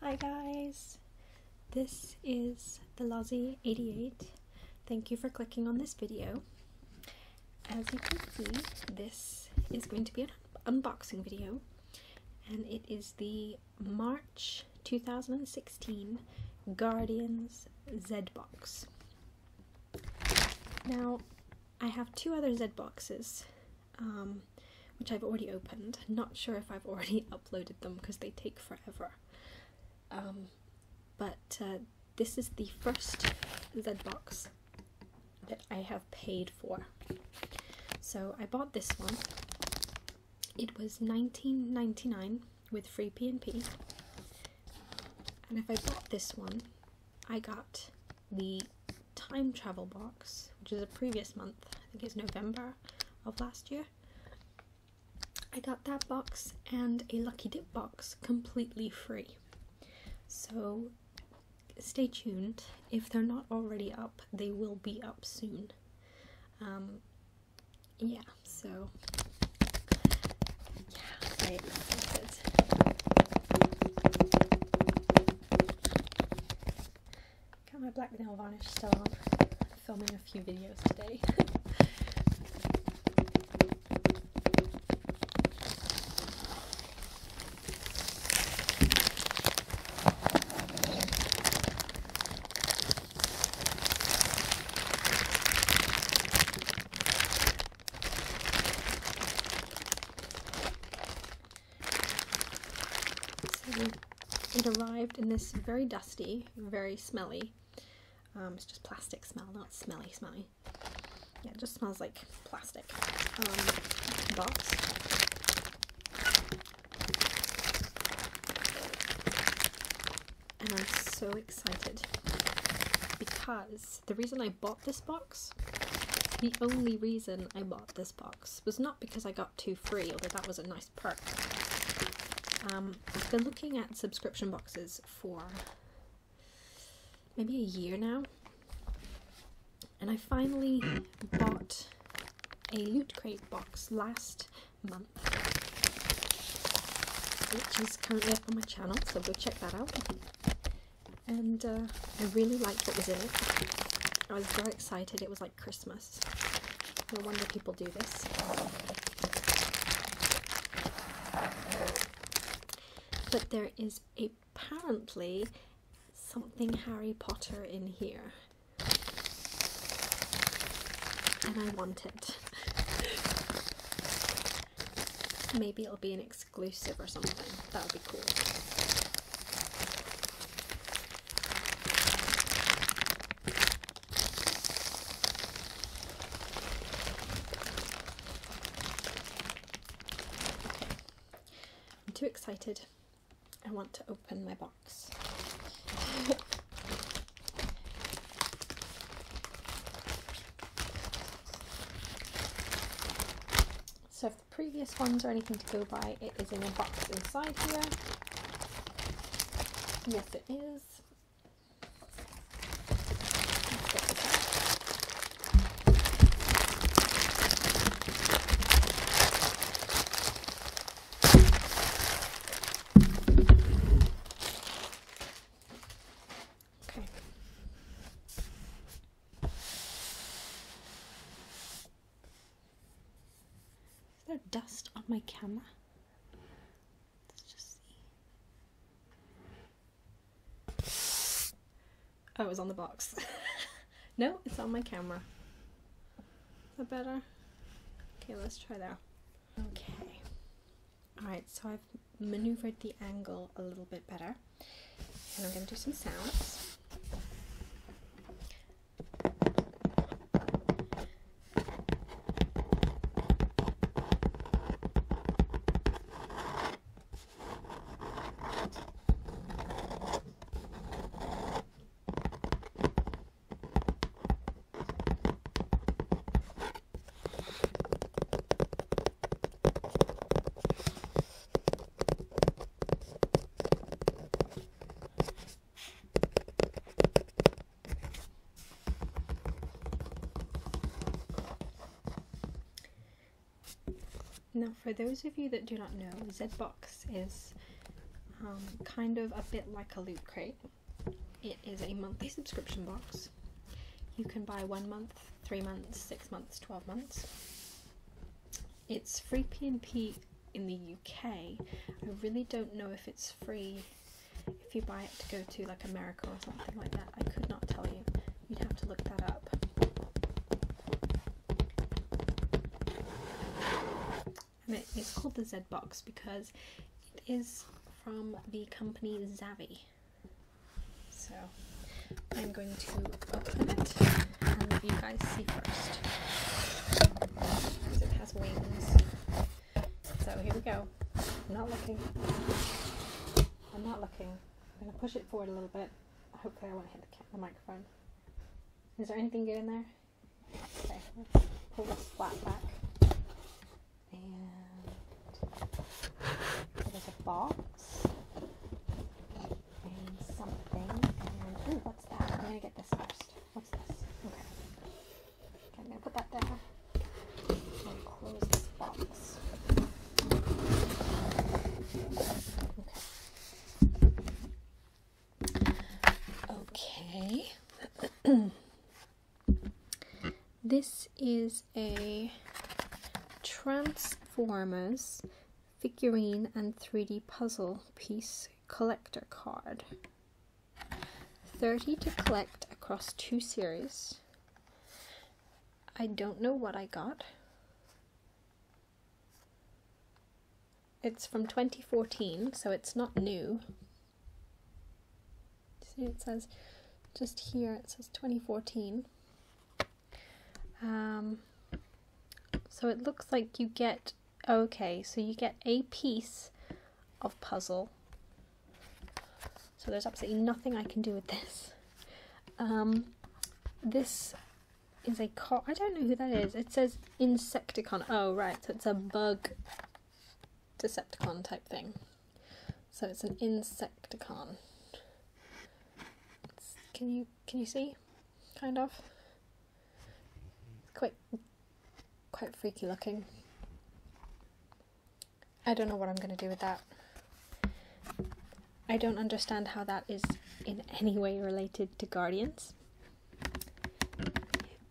Hi guys, this is the Lozzy 88. Thank you for clicking on this video. As you can see, this is going to be an unboxing video and it is the March 2016 Guardians Z box. Now, I have two other Z boxes. Um, which I've already opened. Not sure if I've already uploaded them because they take forever. Um, but uh, this is the first Z box that I have paid for. So I bought this one. It was nineteen ninety nine with free P&P. And if I bought this one, I got the time travel box, which is a previous month, I think it's November of last year. I got that box and a Lucky Dip box completely free. So stay tuned. If they're not already up, they will be up soon. Um, yeah, so yeah, very excited. Got my black nail varnish still on. filming a few videos today it arrived in this very dusty, very smelly. Um, it's just plastic smell, not smelly smelly. Yeah, it just smells like plastic. Um, box. And I'm so excited because the reason I bought this box, the only reason I bought this box was not because I got two free, although that was a nice perk. Um, I've been looking at subscription boxes for maybe a year now, and I finally bought a Loot Crate box last month, which is currently up on my channel, so go check that out and uh, I really liked what was in it. I was very excited. It was like Christmas. No wonder people do this. But there is apparently something Harry Potter in here. And I want it. Maybe it'll be an exclusive or something. That would be cool. I'm too excited. I want to open my box. So the previous ones or anything to go by. It is in a box inside here. Yes, it is. Okay. Is there dust on my camera? Let's just see. Oh, it was on the box. no, it's on my camera. Is that better? Okay, let's try that. Okay. Alright, so I've maneuvered the angle a little bit better. And I'm going to do some sounds. Now, for those of you that do not know, Zbox is um, kind of a bit like a loot crate. It is a monthly subscription box. You can buy one month, three months, six months, 12 months. It's free P and P in the UK. I really don't know if it's free if you buy it to go to like America or something like that. I could not tell you. You'd have to look that up. it's called the Z Box because it is from the company Zavi. So I'm going to open it and let you guys see first. Because it has wings. So here we go. I'm not looking. I'm not looking. I'm going to push it forward a little bit. Hopefully I won't hit the, microphone. Is there anything good in there? Okay, pull this flap back. And there's a box and something. what's that? I'm gonna get this first. What's this? Okay. okay I'm gonna put that there. close this box. Okay. okay. this is a Transformers figurine and 3D puzzle piece collector card. 30 to collect across two series. I don't know what I got. It's from 2014, so it's not new. See, it says just here, it says 2014. Um, so it looks like you get, okay, so you get a piece of puzzle. So there's absolutely nothing I can do with this. Um, this is a car. I don't know who that is. It says Insecticon. Oh, right. So it's a bug Decepticon type thing. So it's an Insecticon. can you can you see? Kind of. Quite, quite freaky looking. I don't know what I'm going to do with that. I don't understand how that is in any way related to Guardians.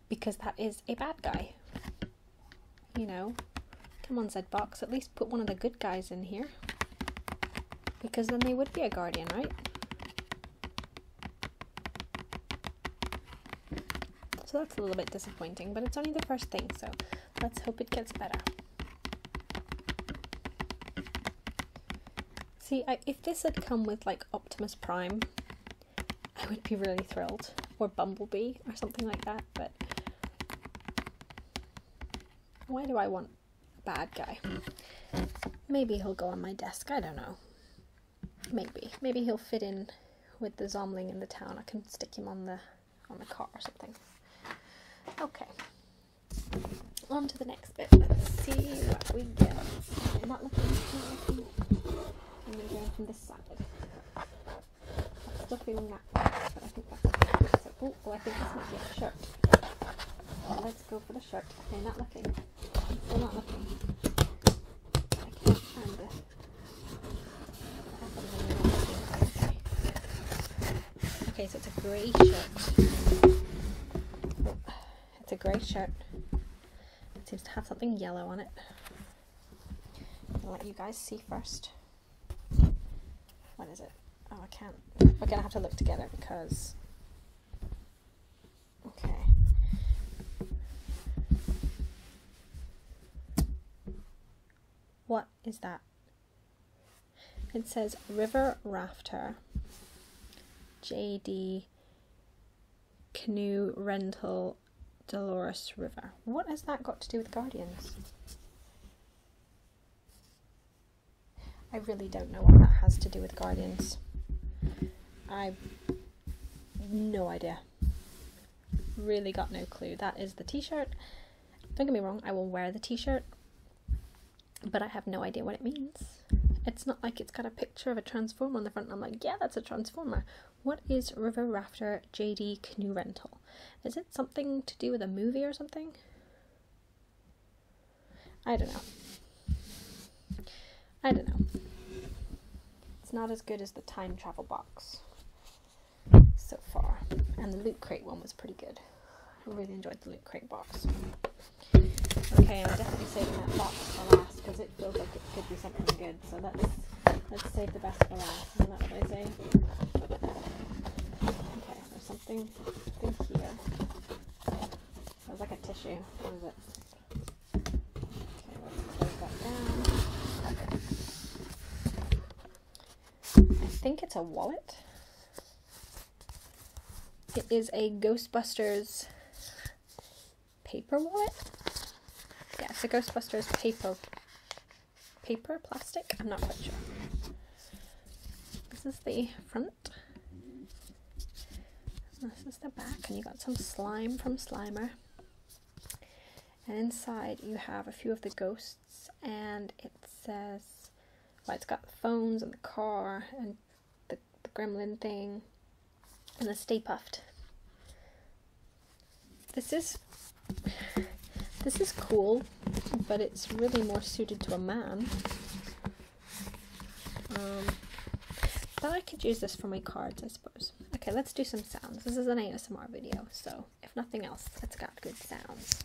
Because that is a bad guy. You know? Come on, box. at least put one of the good guys in here. Because then they would be a guardian, right? So that's a little bit disappointing, but it's only the first thing, so let's hope it gets better. See, if this had come with like Optimus Prime, I would be really thrilled. Or Bumblebee or something like that, but why do I want bad guy. Maybe he'll go on my desk, I don't know. Maybe. Maybe he'll fit in with the Zomling in the town. I can stick him on the on the car or something. Okay. On to the next bit. Let's see what we get. I'm not looking, I'm I'm gonna go from this side. i that but I think that's so, oh, Oh, I think this might a shirt. Let's go for the shirt. Okay, not looking. not looking. I can't find the... Okay, so it's a grey shirt. It's a grey shirt. It seems to have something yellow on it. I'll let you guys see first. What is it? Oh, I can't. We're going to have to look together because... Okay. What is that? It says River Rafter, JD Canoe Rental, Dolores River. What has that got to do with Guardians? I really don't know what that has to do with Guardians. I no idea. Really got no clue. That is the t-shirt. Don't get me wrong, I will wear the t-shirt, but I have no idea what it means. It's not like it's got a picture of a transformer on the front and I'm like, yeah, that's a transformer. What is River Rafter JD Canoe Rental? Is it something to do with a movie or something? I don't know. I don't know. It's not as good as the time travel box so far. And the loot crate one was pretty good. I really enjoyed the loot crate box. Okay, I'm definitely saving that box for last because it feels like it could be something good. So let's let's save the best for last. is what they say? something, something here. a tissue. What is it? I think it's a wallet. It is a Ghostbusters paper wallet. Yeah, it's a Ghostbusters paper paper, plastic, I'm not quite sure. This is the front. This is the back, and you got some slime from Slimer. And inside you have a few of the ghosts, and it says, well, it's got the phones and the car and the, the gremlin thing and the Stay Puffed. This is this is cool, but it's really more suited to a man. Um, but I could use this for my cards, I suppose. Okay, let's do some sounds. This is an ASMR video, so if nothing else, it's got good sounds.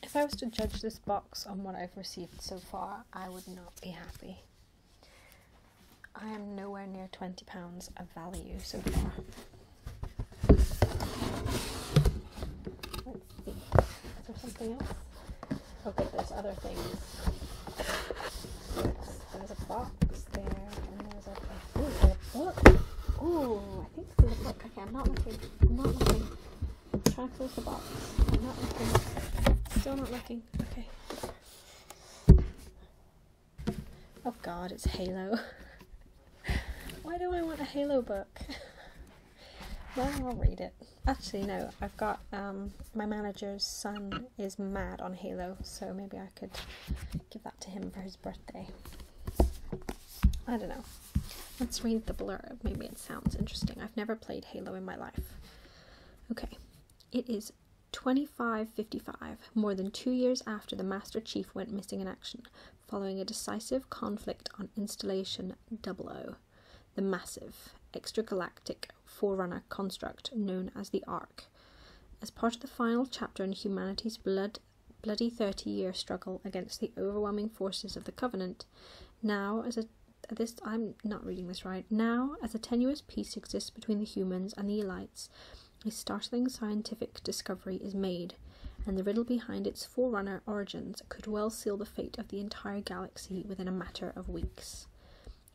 If I was to judge this box on what I've received so far, I would not be happy. I am nowhere near twenty pounds of value so far. Is there something else? Okay, there's other things. There's a box there, and there's a, ooh, there's I think there's a book. Okay, I'm not looking. I'm not looking. Try and close the box. I'm not looking. Still not looking. Okay. Oh god, it's Halo. Why do I want a Halo book? well, I'll read it. Actually, no, I've got um, my manager's son is mad on Halo, so maybe I could give that to him for his birthday. I don't know. Let's read the blurb. Maybe it sounds interesting. I've never played Halo in my life. Okay. It is 2555, more than two years after the Master Chief went missing in action, following a decisive conflict on installation 00, the massive extragalactic forerunner construct known as the Ark. As part of the final chapter in humanity's bloody 30 year struggle against the overwhelming forces of the Covenant, now as a this I'm not reading this right. Now, as a tenuous peace exists between the humans and the elites, a startling scientific discovery is made, and the riddle behind its forerunner origins could well seal the fate of the entire galaxy within a matter of weeks.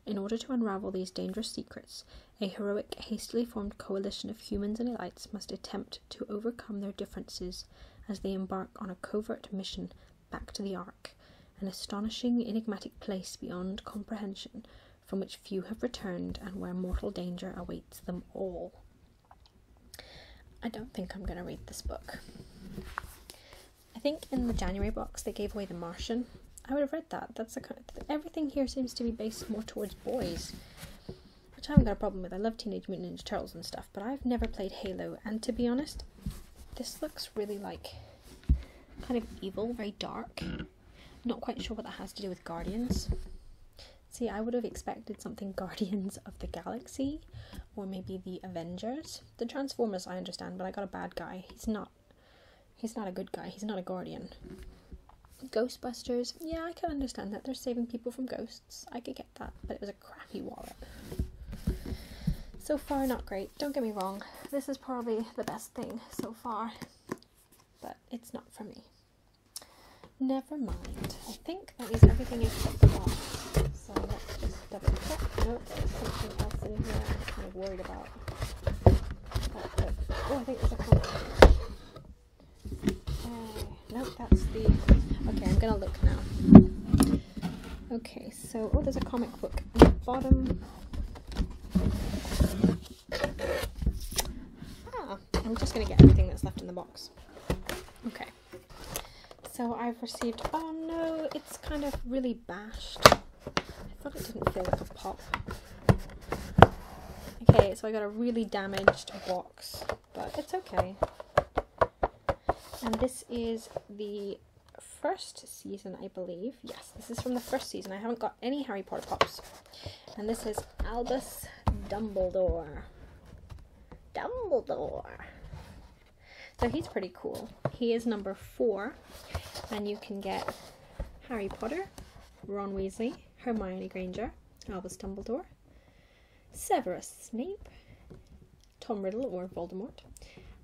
In order to unravel these dangerous secrets, a heroic, hastily formed coalition of humans and elites must attempt to overcome their differences as they embark on a covert mission back to the Ark, an astonishing, enigmatic place beyond comprehension from which few have returned and where mortal danger awaits them all. I don't think I'm going to read this book. I think in the January box they gave away The Martian. I would have read that. That's the kind of everything here seems to be based more towards boys, which I haven't got a problem with. I love Teenage Mutant Ninja Turtles and stuff, but I've never played Halo, and to be honest, this looks really like kind of evil, very dark. Mm. Not quite sure what that has to do with Guardians. See, I would have expected something Guardians of the Galaxy or maybe the Avengers. The Transformers I understand, but I got a bad guy. He's not he's not a good guy. He's not a guardian. Ghostbusters. Yeah, I can understand that. They're saving people from ghosts. I could get that, but it was a crappy wallet. So far not great. Don't get me wrong. This is probably the best thing so far but it's not for me. Never mind. I think that is everything except that. So let's just double check. Nope, there's something else in here I'm kind of worried about. oh, I think there's a comic. Uh, nope, that's the. Okay, I'm gonna look now. Okay, so oh, there's a comic book in the bottom. Ah, I'm just going to get everything that's left in the box. Okay. So I've received, oh no, it's kind of really bashed. I thought it didn't feel like a pop. Okay, so I got a really damaged box, but it's okay. And this is the first season, I believe, Yes, this is from the first season. I haven't got any Harry Potter pops. And this is Albus Dumbledore. Dumbledore. So he's pretty cool. He is number four. And you can get Harry Potter, Ron Weasley, Hermione Granger, Albus Dumbledore, Severus Snape, Tom Riddle or Voldemort,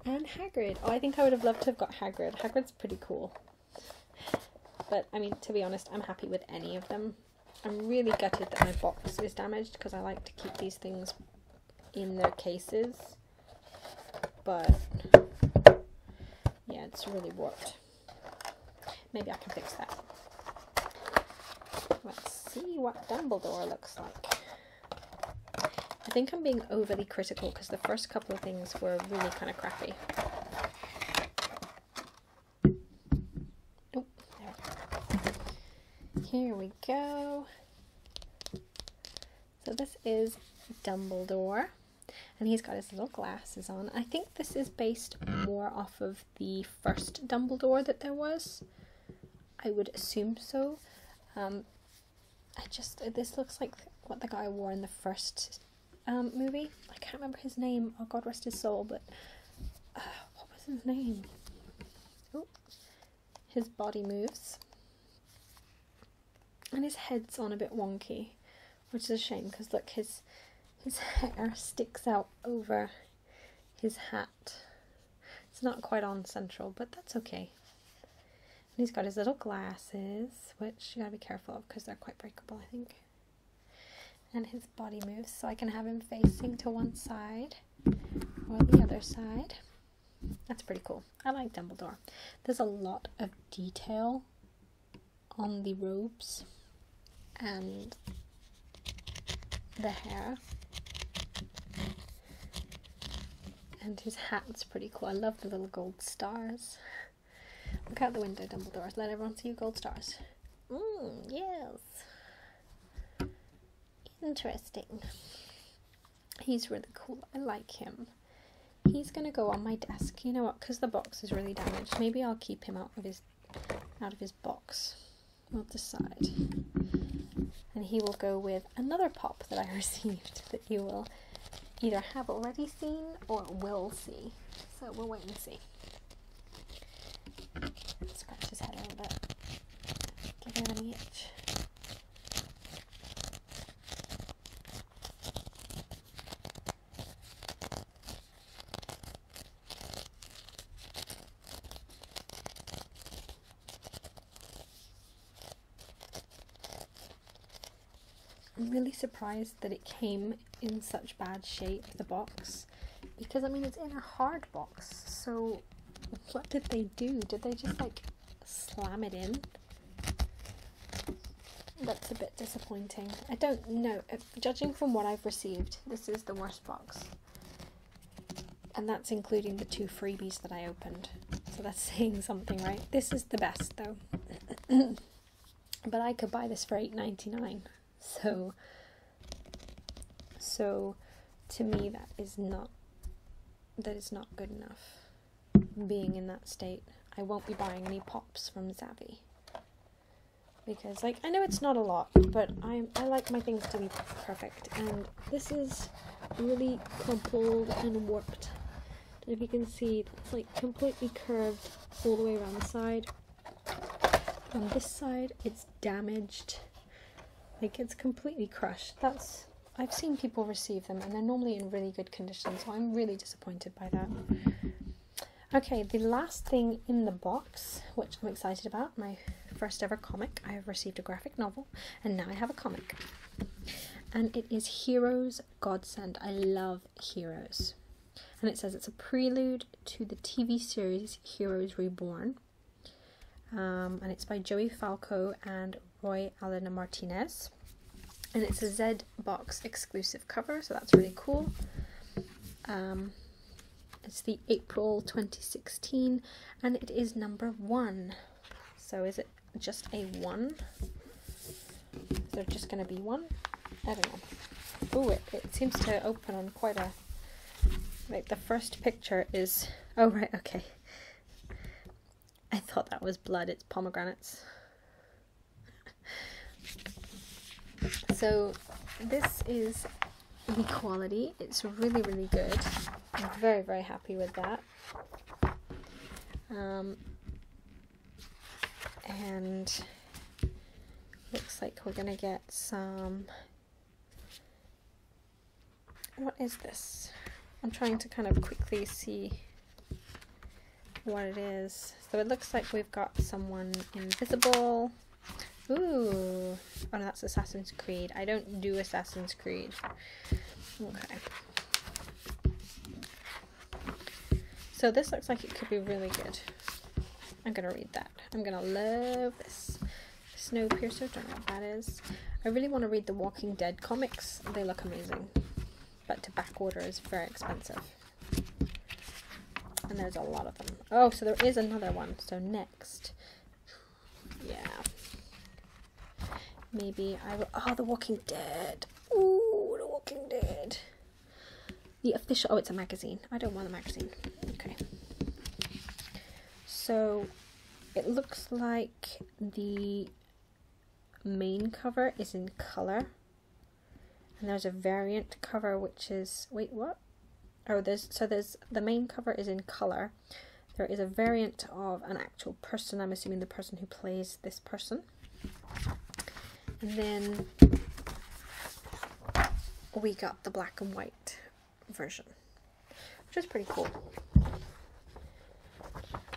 and Hagrid. Oh, I think I would have loved to have got Hagrid. Hagrid's pretty cool. But I mean, to be honest, I'm happy with any of them. I'm really gutted that my box is damaged because I like to keep these things in their cases. But yeah, it's really warped. Maybe I can fix that. Let's see what Dumbledore looks like. I think I'm being overly critical because the first first couple of things were really kind of crappy. Here we go. So this is Dumbledore and he's got his little glasses on. I think this is based more off of the first Dumbledore that there was. I would assume so. Um, I just this looks like what the guy wore in the first um, movie. I can't remember his name. Oh God, rest his soul. But uh, what was his name? Oh, his body moves, and his head's on a bit wonky, which is a shame because look, his his hair sticks out over his hat. It's not quite on central, but that's okay. And he's got his little glasses, which you gotta be careful of because they're quite breakable, I think. And his body moves, so I can have him facing to one side or the other side. That's pretty cool. I like Dumbledore. There's a lot of detail on the robes and the hair. And his hat's pretty cool. I love the little gold stars. Look out the window, Dumbledore. Let everyone see you, gold stars. Mmm, yes. Interesting. He's really cool. I like him. He's gonna go on my desk. You know what? Because the box is really damaged. Maybe I'll keep him out of his out of his box. We'll decide. And he will go with another pop that I received that you will either have already seen or will see. So we'll wait and see. Scratch his head a bit. Give him an itch. I'm really surprised that it came in such bad shape, the box, because I mean it's in a hard box, so what did they do? Did they just like slam it in? That's a bit disappointing. I don't know. judging from what I've received, this is the worst box. And that's including the two freebies that I opened. So that's saying something, right? This is the best though. but I could buy this for eight ninety nine. So, so to me that is not that is not good enough. Being in that state, I won't be buying any pops from Zavi because like I know it's not a lot, but I I like my things to be perfect, and this is really crumpled and warped, if you can see, it's like completely curved all the way around the side. On this side, it's damaged. Like it's completely crushed. That's I've seen people receive them and they're normally in really good condition, so I'm really disappointed by that. Okay, the last thing in the box, which I'm excited about, my first ever comic. I have received a graphic novel and now I have a comic. And it is Heroes godsend. I love Heroes. And it says it's a prelude to the TV series Heroes Reborn. Um, and it's by Joey Falco and Roy Allen Martinez. And it's a Z Box exclusive cover, so that's really cool. Um, it's the April 2016 and it is number one. So is it just a one? Is there just going to be one? I don't know. Oh, it, it seems to open on quite a... Like, the first picture is... Oh, right, okay. I thought that was blood. It's pomegranates. so, this is the quality. It's really, really good. I'm very, very happy with that. Um, and looks like we're going to get some, what is this? I'm trying to kind of quickly see what it is. So it looks like we've got someone invisible. Ooh, oh no, that's Assassin's Creed. I don't do Assassin's Creed. Okay. So this looks like it could be really good. I'm going to read that. I'm going to love this. Snowpiercer, don't know what that is. I really want to read the Walking Dead comics. They look amazing. But to back order is very expensive. And there's a lot of them. Oh, so there is another one. So next. Yeah. Maybe I will. Oh, The Walking Dead. Oh, The Walking Dead. The official. Oh, it's a magazine. I don't want a magazine. Okay. So it looks like the main cover is in color. And there's a variant cover which is. Wait, what? Oh, there's. So there's. The main cover is in color. There is a variant of an actual person. I'm assuming the person who plays this person. And then we got the black and white version, which is pretty cool.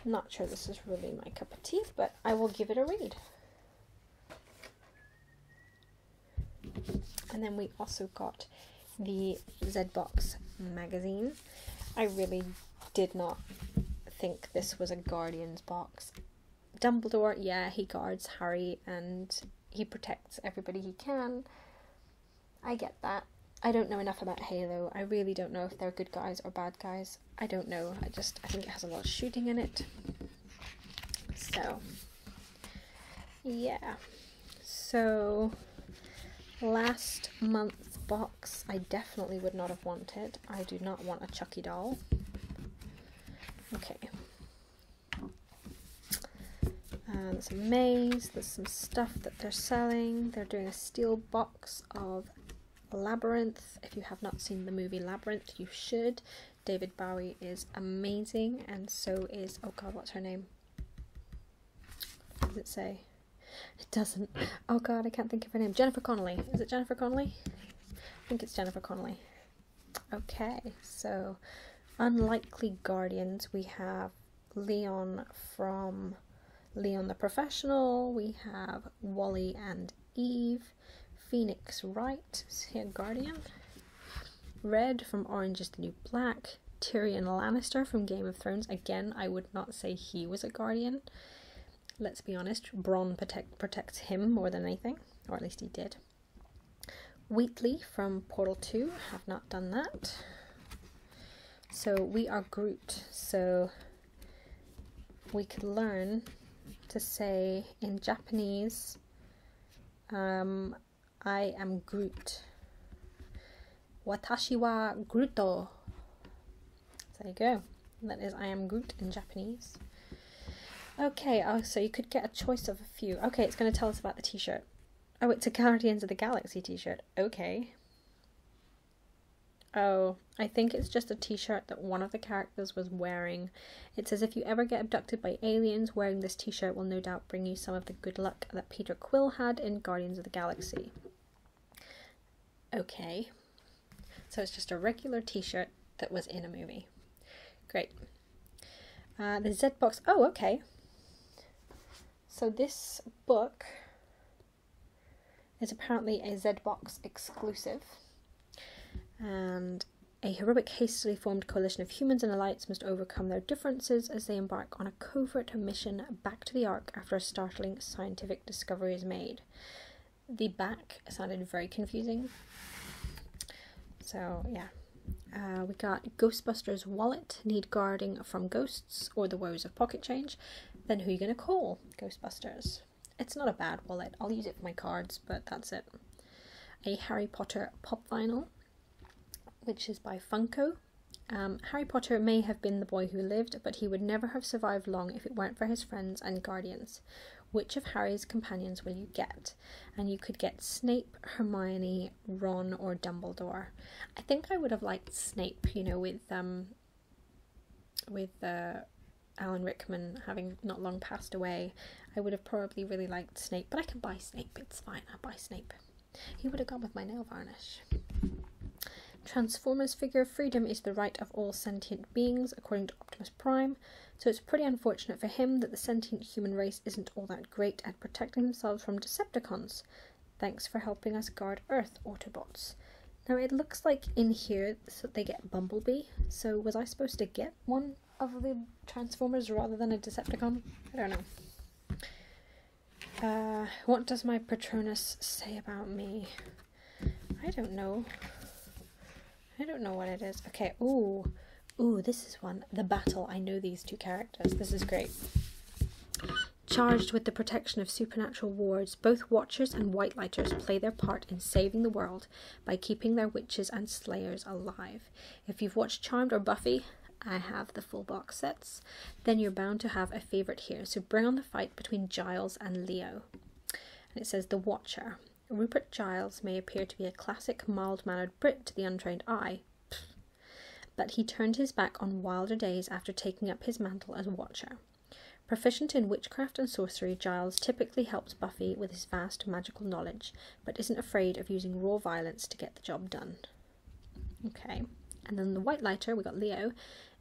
not sure this is really my cup of tea, but I will give it a read. And then we also got the Z Box magazine I really did not think this was a Guardians box. Dumbledore, yeah, he guards Harry and he protects everybody he can. I get that. I don't know enough about Halo. I really don't know if they're good guys or bad guys. I don't know. I just I think it has a lot of shooting in it. So yeah. So last month box I definitely would not have wanted. I do not want a Chucky doll. Okay. Um, there's a maze, there's some stuff that they're selling. They're doing a steel box of Labyrinth. If you have not seen the movie Labyrinth, you should. David Bowie is amazing, and so is, oh god, what's her name? does it say? It doesn't. Oh god, I can't think of her name. Jennifer Connolly. Is it Jennifer Connolly? I think it's Jennifer Connolly. Okay, so unlikely guardians. We have Leon from Leon the Professional. We have Wally and Eve. Phoenix Wright is here Guardian. Red from Orange is the New Black. Tyrion Lannister from Game of Thrones. Again, I would not say he was a guardian let's be honest, Bron protect, protects him more than anything, or at least he did. Wheatley from Portal 2, have not done that. So we are grouped, so we could learn to say in Japanese, um, I am grouped. Watashi wa Gruto. There you go. That is I am Groot in Japanese. Okay, oh, so you could get a choice of a few. Okay, it's going to tell us about the t-shirt. Oh, it's a Guardians of the Galaxy t-shirt. Okay. Oh, I think it's just a t-shirt that one of the characters was wearing. It says, if you ever get abducted by aliens, wearing this t-shirt will no doubt bring you some of the good luck that Peter Quill had in Guardians of the Galaxy. Okay. So it's just a regular t-shirt that was in a movie. Great. Uh, the Z box. Oh, okay. So this book is apparently a Z box exclusive. And a heroic, hastily formed coalition of humans and elites must overcome their differences as they embark on covert mission back to the Ark after a startling scientific discovery is made. The back sounded very confusing. So, yeah. Uh, we got Ghostbusters wallet, need guarding from ghosts or the woes of pocket change. Then who are you going to call? Ghostbusters. It's not a bad wallet. I'll use it for my cards, but that's it. A Harry Potter pop vinyl, which is by Funko. Um, Harry Potter may have been the boy who lived, but he would never have survived long if it weren't for his friends and guardians. Which of Harry's companions will you get? And you could get Snape, Hermione, Ron, or Dumbledore. I think I would have liked Snape, you know, with um, with uh, Alan Rickman having not long passed away. I would have probably really liked Snape, but I can buy Snape. It's fine. i buy Snape. He would have gone with my nail varnish. Transformers figure of freedom is the right of all sentient beings, according to Optimus Prime, so it's pretty unfortunate for him that the sentient human race isn't all that great at protecting themselves from Decepticons. Thanks for helping us guard Earth, Autobots. Now it looks like in here they get Bumblebee, so was I supposed to get one of the Transformers rather than a Decepticon? I don't know. Uh, what does my Patronus say about me? I don't know. I don't know what it is. Okay, ooh. Ooh, this is one. The Battle. I know these two characters. This is great. Charged with the protection of supernatural wards, both Watchers and Whitelighters play their part in saving the world by keeping their witches and slayers alive. If you've watched Charmed or Buffy, I have the full box sets, then you're bound to have a favourite here. So bring on the fight between Giles and Leo. And it says The Watcher. Rupert Giles may appear to be a classic mild mannered Brit to the untrained eye, but he turned his back on wilder days after taking up his mantle as Watcher. Proficient in witchcraft and sorcery, Giles typically helps Buffy with his vast magical knowledge, but isn't afraid of using raw violence to get the job done. Okay, and then the white lighter, we got Leo,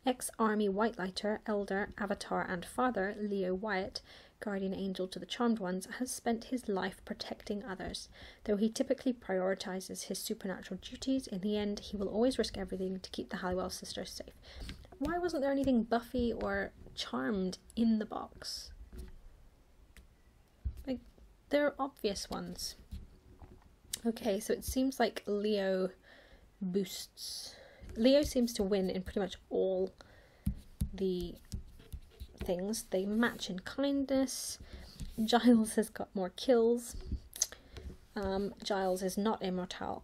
ex army white lighter, elder, avatar, and father, Leo Wyatt, guardian angel to the charmed ones, has spent his life protecting others. Though he typically prioritizes his supernatural duties, in the end, he will always risk everything to keep the Halliwell sisters safe. Why wasn't there anything Buffy or Charmed in the box? Like, there are obvious ones. Okay, so it seems like Leo boosts. Leo seems to win in pretty much all the things. They match in kindness. Giles has got more kills. Um, Giles is not immortal.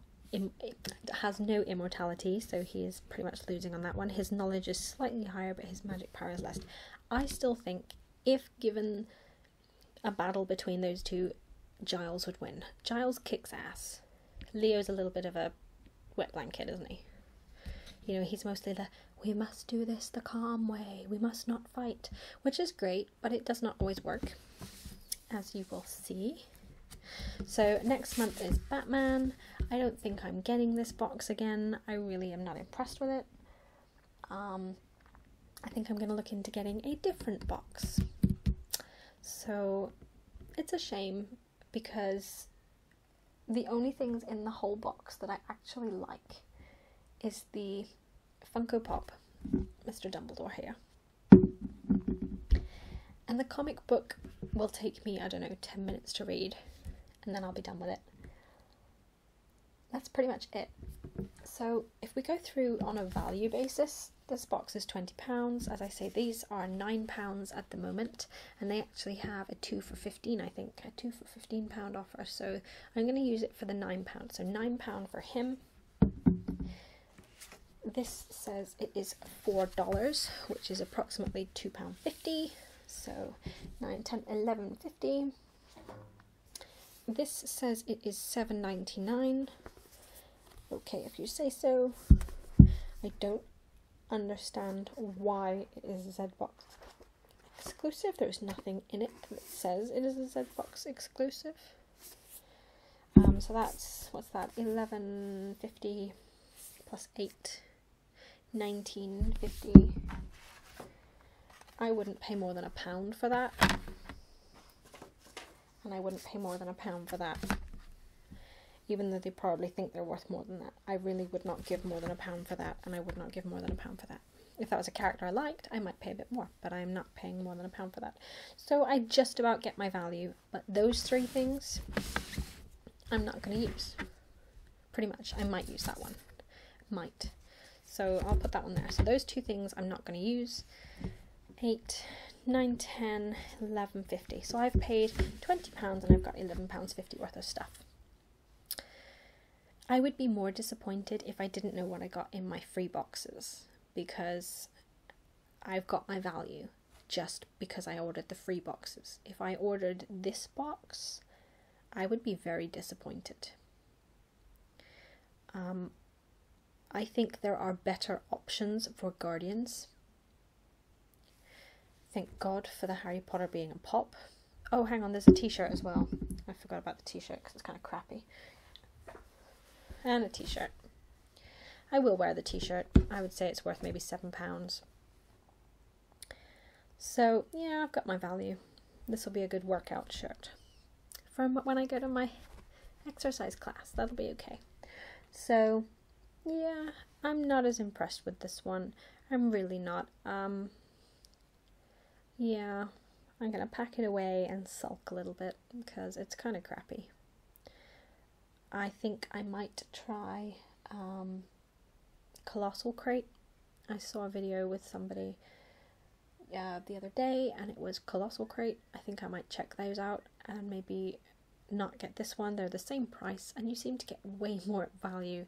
has no immortality, so he is pretty much losing on that one. His knowledge is slightly higher, but his magic power is less. I still think if given a battle between those two, Giles would win. Giles kicks ass. Leo's a little bit of a wet blanket, isn't he? You know, he's mostly the we must do this the calm way, we must not fight, which is great, but it does not always work, as you will see. So, next month is Batman. I don't think I'm getting this box again. I really am not impressed with it. Um, I think I'm going to look into getting a different box. So it's a shame because the only things in the whole box that I actually like is the Funko Pop Mr. Dumbledore here. And the comic book will take me, I don't know, 10 minutes to read and then I'll be done with it that's pretty much it. So if we go through on a value basis, this box is £20. As I say, these are £9 at the moment, and they actually have a 2 for 15 I think, a 2 for £15 offer. So I'm going to use it for the £9. So £9 for him. This says it is $4, which is approximately £2.50. So 9, 10, this says it is seven ninety nine. Okay, if you say so. I don't understand why it is Z Box exclusive. There's nothing in it that says it is a Box exclusive. Um, so that's, what's that, 1150 plus 8, 1950. I wouldn't pay more than a pound for that. And I wouldn't pay more than a pound for that. Even though they probably think they're worth more than that. I really would not give more than a pound for that, and I would not give more than a pound for that. If that was a character I liked, I might pay a bit more, but I'm not paying more than a pound for that. So I just about get my value, but those three things I'm not going to use. Pretty much. I might use that one. Might. So I'll put that one there. So those two things I'm not going to use. 8, 9, 10, 11, 50. So I've paid £20 and I've got £11.50 worth of stuff. I would be more disappointed if I didn't know what I got in my free boxes because I've got my value just because I ordered the free boxes. If I ordered this box, I would be very disappointed. Um, I think there are better options for guardians. Thank God for the Harry Potter being a pop. Oh, hang on, there's a t-shirt as well. I forgot about the t-shirt because it's kind of crappy. And a t-shirt. I will wear the t-shirt. I would say it's worth maybe £7. So, yeah, I've got my value. This will be a good workout shirt from when I go to my exercise class. That'll be okay. So, yeah, I'm not as impressed with this one. I'm really not. Um, yeah, I'm going to pack it away and sulk a little bit because it's kind of crappy. I think I might try um, Colossal Crate. I saw a video with somebody uh, the other day and it was Colossal Crate. I think I might check those out and maybe not get this one. They're the same price and you seem to get way more value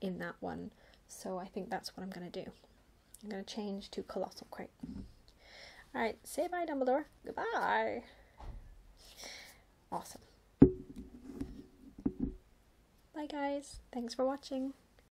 in that one. So I think that's what I'm going to do. I'm going to change to Colossal Crate. Alright, say bye Dumbledore. Goodbye. Awesome. Bye guys. Thanks for watching.